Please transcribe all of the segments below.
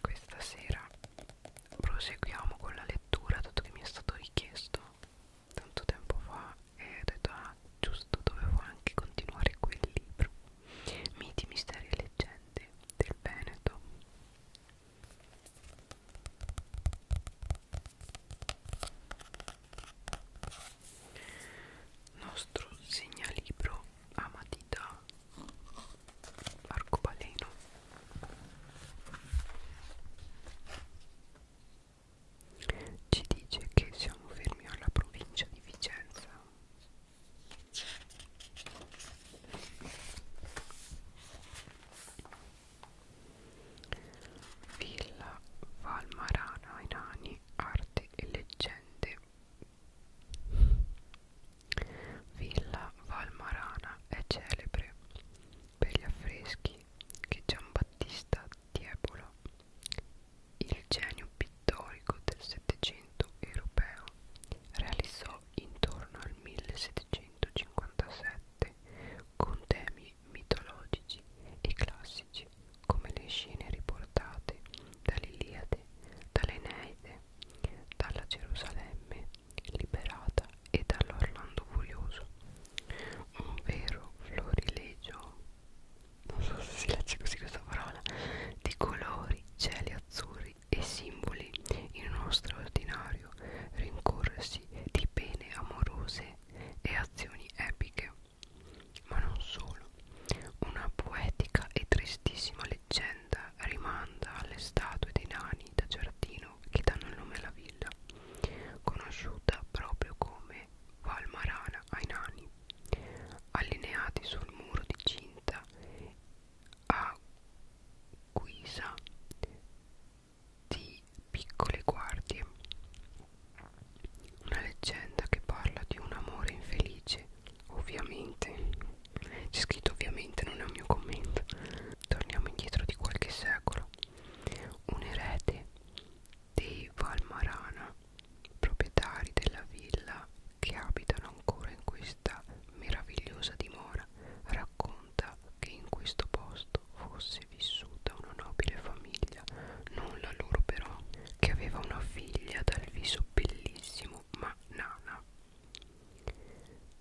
questa sera proseguiamo con la lettura, dato che mi è stato richiesto tanto tempo fa e ho detto ah giusto dovevo anche continuare quel libro Miti, misteri e leggende del Veneto nostro segnalibro a ah, matita arcobaleno ci dice che siamo fermi alla provincia di Vicenza Villa Valmarana Enani Arte e Leggende Villa Valmarana è celebre per gli affreschi che Giambattista Tiepolo, il genio pittorico del Settecento europeo, realizzò intorno al 1757 con temi mitologici e classici come le scene riportate dall'Iliade, dall'Eneide, dalla Gerusalemme liberata e dall'Orlando Furioso. Un vero florilegio, non so se si legge così questa parola, di colori, cieli azzurri e simboli in uno straordinario rincorsi di pene amorose e azioni epiche ma non solo. Una poetica e tristissima leggenda rimanda alle statue dei nani da giardino che danno il nome alla villa, conosciuta proprio come Valmarana ai nani, allineati sul muro di cinta a guisa di piccole guardie. Una leggenda che parla di un amore infelice ovviamente c'è scritto ovviamente non è un mio commento torniamo indietro di qualche secolo un erede dei Valmarana proprietari della villa che abitano ancora in questa meravigliosa dimora racconta che in questo posto fosse vissuta una nobile famiglia non la loro però che aveva una figlia dal viso bellissimo benissimo ma Nana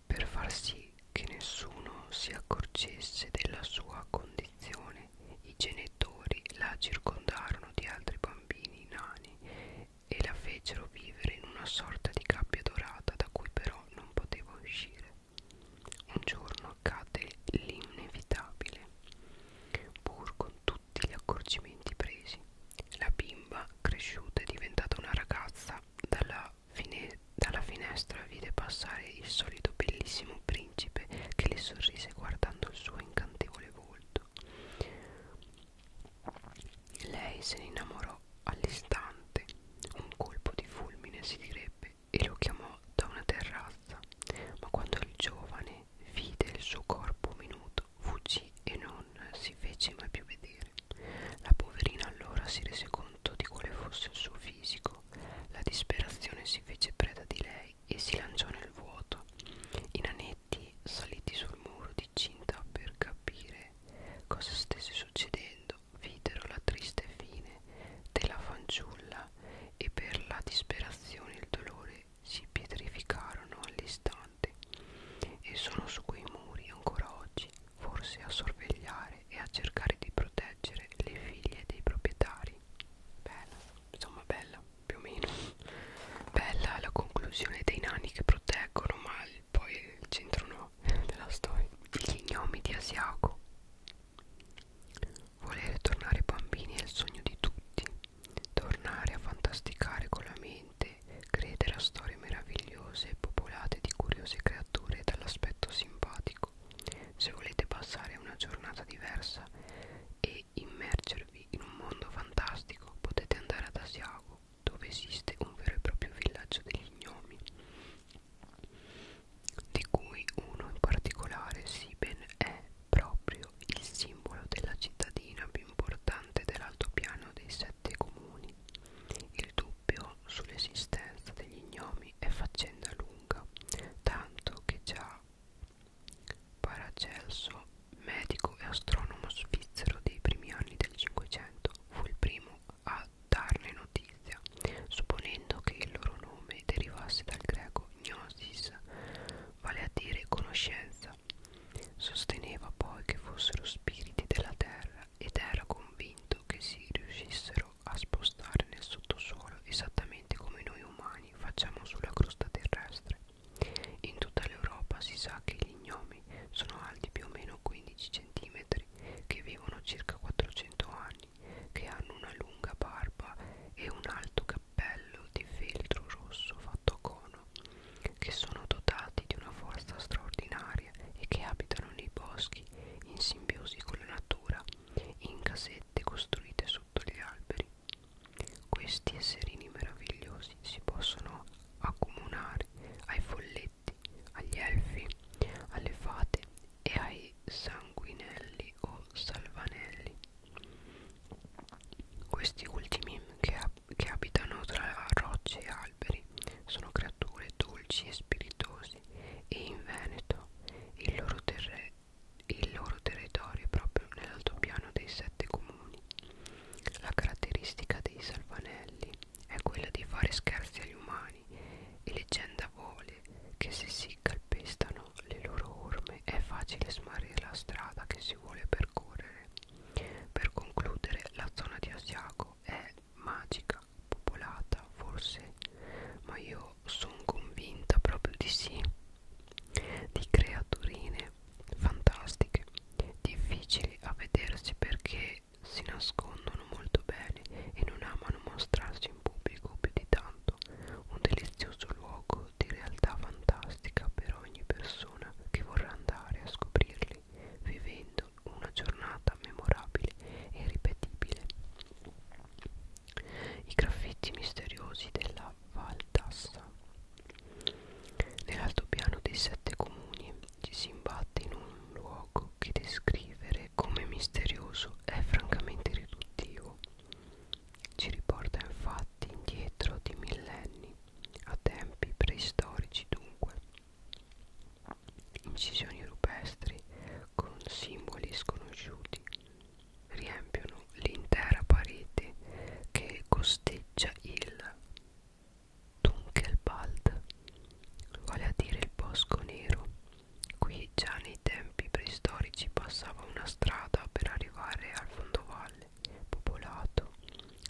per far sì che nessuno si accorgesse della sua condizione i genitori la circondarono di altri bambini nani e la fecero vivere in una sorta di gabbia dorata da cui però non poteva uscire un giorno accade l'inevitabile pur con tutte tutti gli accorgimenti presi. La bimba, cresciuta e diventata una ragazza, dalla, fine dalla finestra vide passare il solito bellissimo principe che le sorrise guardando il suo incantevole volto. Lei se ne innamorò all'istante, un colpo di fulmine si direbbe, e lo chiamò da una terrazza, ma quando il giovane vide il suo corpo minuto fuggì e non si fece mai più vedere. La poverina allora si rese conto di quale fosse il suo fisico. La disperazione si fece preda di lei e si lanciò nel vuoto. I nanetti saliti sul muro di cinta per capire cosa stesse succedendo videro la triste fine della fanciulla e per la disperazione il dolore si pietrificarono all'istante e sono su quei muri ancora oggi, forse a sorvegliare e a cercare di proteggere le figlie dei proprietari. Bella, insomma bella, più o meno. Bella la conclusione dei nani che proteggono, ma poi il centro no della storia. Gli gnomi di Asiago. Volere tornare bambini è il sogno di tutti tornare a fantasticare con la mente, credere a storie meravigliose popolate di curiose creature dall'aspetto simpatico. Se volete passare una giornata diversa e immergervi in un mondo fantastico, potete andare ad Asiago, dove esiste un vero e proprio villaggio degli gnomi, di cui uno in particolare, Siben, è proprio il simbolo della cittadina più importante dell'altopiano dei sette comuni. Il dubbio sull'esistenza degli gnomi è faccenda lunga, tanto che già Paracelso, medico e astronomo svizzero dei primi anni del Cinquecento, fu il primo a darne notizia, supponendo che il loro nome derivasse dal greco gnosis, vale a dire conoscenza. Sosteneva poi che fossero spiriti della terra ed era convinto che si riuscissero a spostare nel sottosuolo esattamente come noi umani facciamo sulla crosta terrestre. In tutta l'Europa si sa che gli gnomi sono alti più o meno 15 cm, che vivono circa 400 anni, che hanno una lunga barba e un alto cappello cappello di feltro rosso fatto a cono, che sono dotati di una forza straordinaria e che abitano nei boschi in simbiosi con la natura, in casette costruite sotto gli alberi. Questi esserini meravigliosi si possono accomunare ai folletti, agli elfi, alle fate e ai sanguinelli o salvanelli questi ultimi che, che abitano tra rocce e alberi sono creature dolci e spiritosi e in Veneto il loro, il loro territorio è proprio nell'altopiano dei sette comuni. La caratteristica dei salvanelli è quella di fare scherzi agli umani e leggenda vuole che se si calpestano le loro orme è facile smarrire la strada che si vuole percorrere. Per concludere, la zona di Asiago è magica, popolata forse, ma io sono convinta proprio di sì, di creaturine fantastiche, difficili a vedersi perché si nascondono molto bene e non amano mostrarsi in pubblico più di tanto. Un delizioso luogo mondo di realtà fantastica per ogni persona che vorrà andare a scoprirli, vivendo una giornata memorabile e irripetibile. I graffiti misteriosi della Valtassa. Nell'altopiano dei sette comuni ci si imbatte in un luogo che descrivere come misterioso è francamente riduttivo ci riporta infatti indietro di millenni, a tempi preistorici dunque. Incisioni rupestri con simboli sconosciuti riempiono l'intera parete che costeggia il Dunkelwald, vale a dire il bosco nero. Qui già nei tempi preistorici passava una una strada per arrivare al fondovalle popolato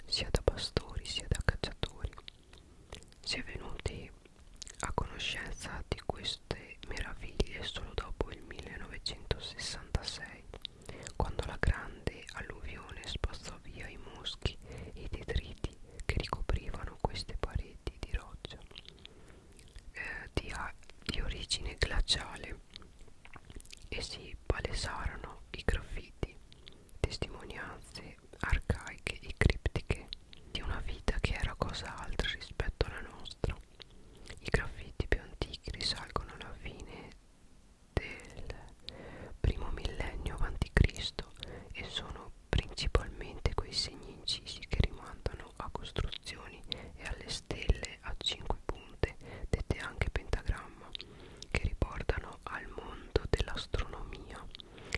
sia da pastori sia da cacciatori. Si è venuti a conoscenza di queste meraviglie solo dopo il 1966, quando la grande alluvione spazzò via i moschi e i detriti che ricoprivano queste pareti di roccia eh, di, di origine glaciale e si palesarono i graffiti, testimonianze arcaiche e criptiche di una vita che era cosa altra rispetto alla nostra. I graffiti più antichi risalgono alla fine del primo millennio a.C. e sono principalmente quei segni incisi che rimandano a costruzioni e alle stelle a 5 punte, dette anche pentagramma, che riportano al mondo dell'astronomia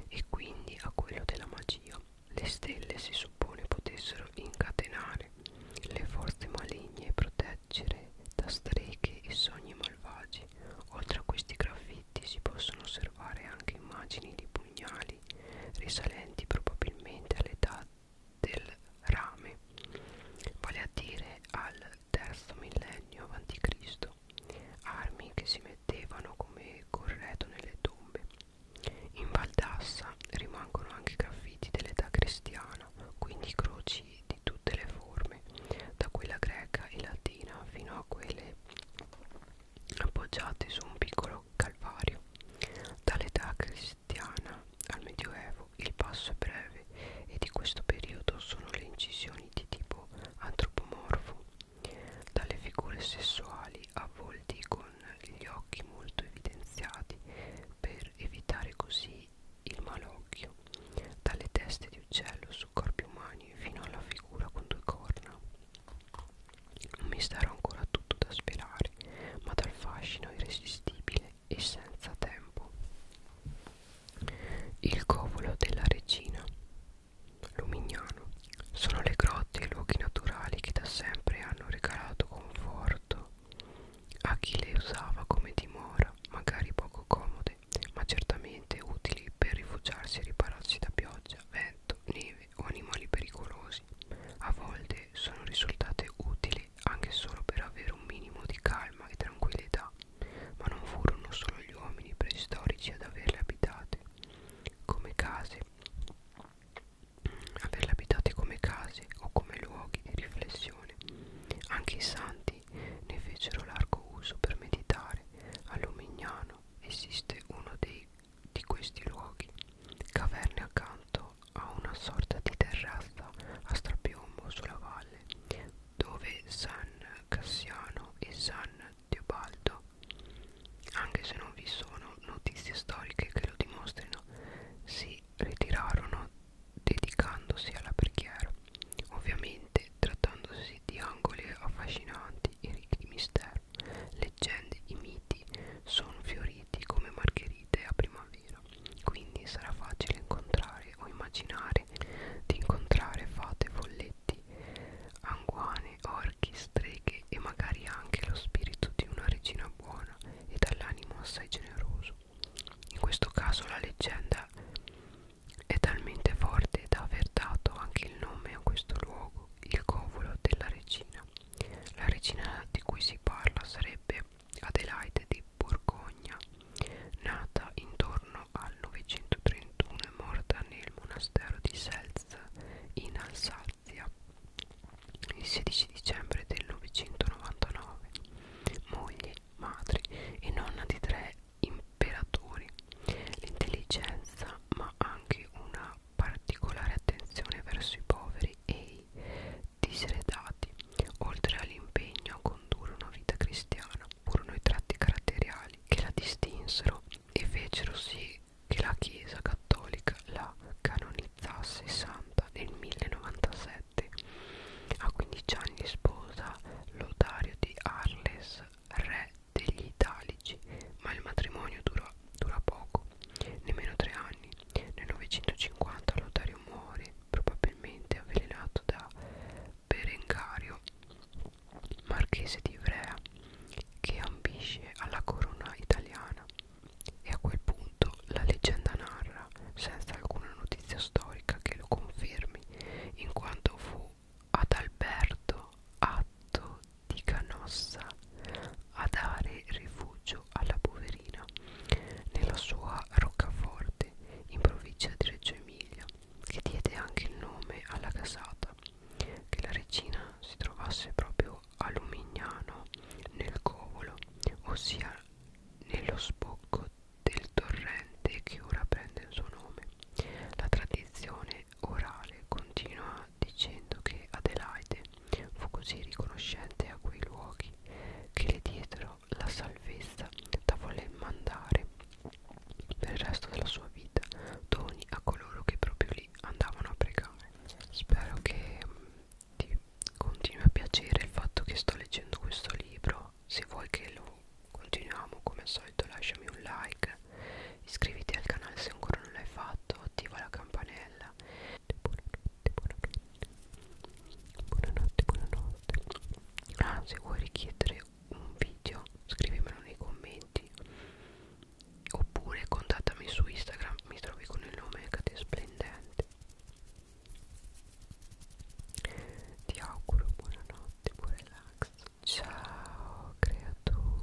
e quindi a quello della magia. Le stelle si suppone potessero incatenare le forze maligne e proteggere da streghe e sogni malvagi. Oltre a questi graffiti si possono osservare anche immagini di pugnali risalenti probabilmente all'età del rame, vale a dire al terzo millennio a.C., armi che si mettevano come corredo nelle tombe. In Valdassa rimangono anche graffiti dell'età cristiana, quindi croci di tutte le forme, da quella greca e latina fino a quelle appoggiate su un piccolo calvario. Dall'età cristiana al medioevo il passo è breve e di questo periodo sono le incisioni di tipo antropomorfo dalle figure sessuali a volti con gli occhi molto evidenziati per evitare così il malocchio dalle teste di uccello su corpi umani fino alla figura con due corna non mi starò ancora tutto da sperare sempre, ma dal fascino irresistibile e senza tempo. Il covolo della regina Lumignano sono le grotte e i luoghi naturali che da sempre hanno regalato conforto a chi le usava come dimora, magari poco comode, ma certamente utili per rifugiarsi e ripararsi da pioggia, vento, neve o animali pericolosi, a volte domande sono risultate utili anche solo per avere un minimo di calma e tranquillità, ma non furono solo gli uomini preistorici ad averle abitate come case, averle abitate come case o come luoghi di riflessione. Anche i santi ne fecero largo uso per meditare. A Lumignano esiste uno dei, di questi luoghi, caverne accanto ha una sorta di terrazza a strapiombo sulla valle dove San Cassiano e San Teobaldo, anche se non vi sono notizie storiche che lo dimostrino, si ritirarono dedicandosi alla preghiera, ovviamente trattandosi di angoli affascinanti e ricchi di mistero. Leggende e miti sono fioriti come margherite a primavera vera quindi sarà facile incontrare o immaginare di incontrare fate, folletti, anguane, orchi, streghe e magari anche lo spirito di una regina buona e dall'animo assai generoso. In questo caso la leggenda è talmente forte da aver dato anche il nome a questo luogo, il covolo della regina. La regina di cui si parla sarebbe Adelaide di Borgogna, nata intorno al 931 e morta nel monastero di Selz in Alsazia il 16 dicembre del 999, moglie, madre e nonna di tre imperatori. L'intelligenza, ma anche una particolare attenzione verso i poveri e i diseredati, oltre all'impegno a condurre una vita cristiana. Furono i tratti caratteriali che la distinsero e fecero sì che la Chiesa cattolica la canonizzasse santa nel 1097. A 15 anni sposa Lodario di Arles, re degli Italici, ma il matrimonio dura, dura poco nemmeno tre anni. Nel 950 Lotario muore, probabilmente avvelenato da Berengario, marchese di Ivrea, che ambisce alla corona italiana. E a quel punto la leggenda narra, senza alcuna notizia storica che lo confermi, in quanto fu ad Alberto Atto di Canossa a dare rifugio alla poverina nella sua roccaforte in provincia di Reggio Emilia, che diede anche il nome alla casata, che la regina si trovasse proprio a Lumignano nel Covolo, ossia nello spocco del torrente che ora prende il suo nome. La tradizione orale continua dicendo che Adelaide Fu così riconoscente a quei luoghi che le diedero la salvezza da voler mandare per il resto della sua vita doni a coloro che proprio lì andavano a pregare. Spero che mm, ti continui a piacere il fatto che sto leggendo questo libro. Se vuoi che lo continuiamo come al solito lasciami un like, iscriviti al canale se ancora non l'hai fatto, attiva la campanella buonanotte buonanotte buonanotte ah se vuoi richiedere un video scrivimelo nei commenti oppure contattami su Instagram mi trovi con il nome Cate Splendente ti auguro buonanotte buon relax ciao creatura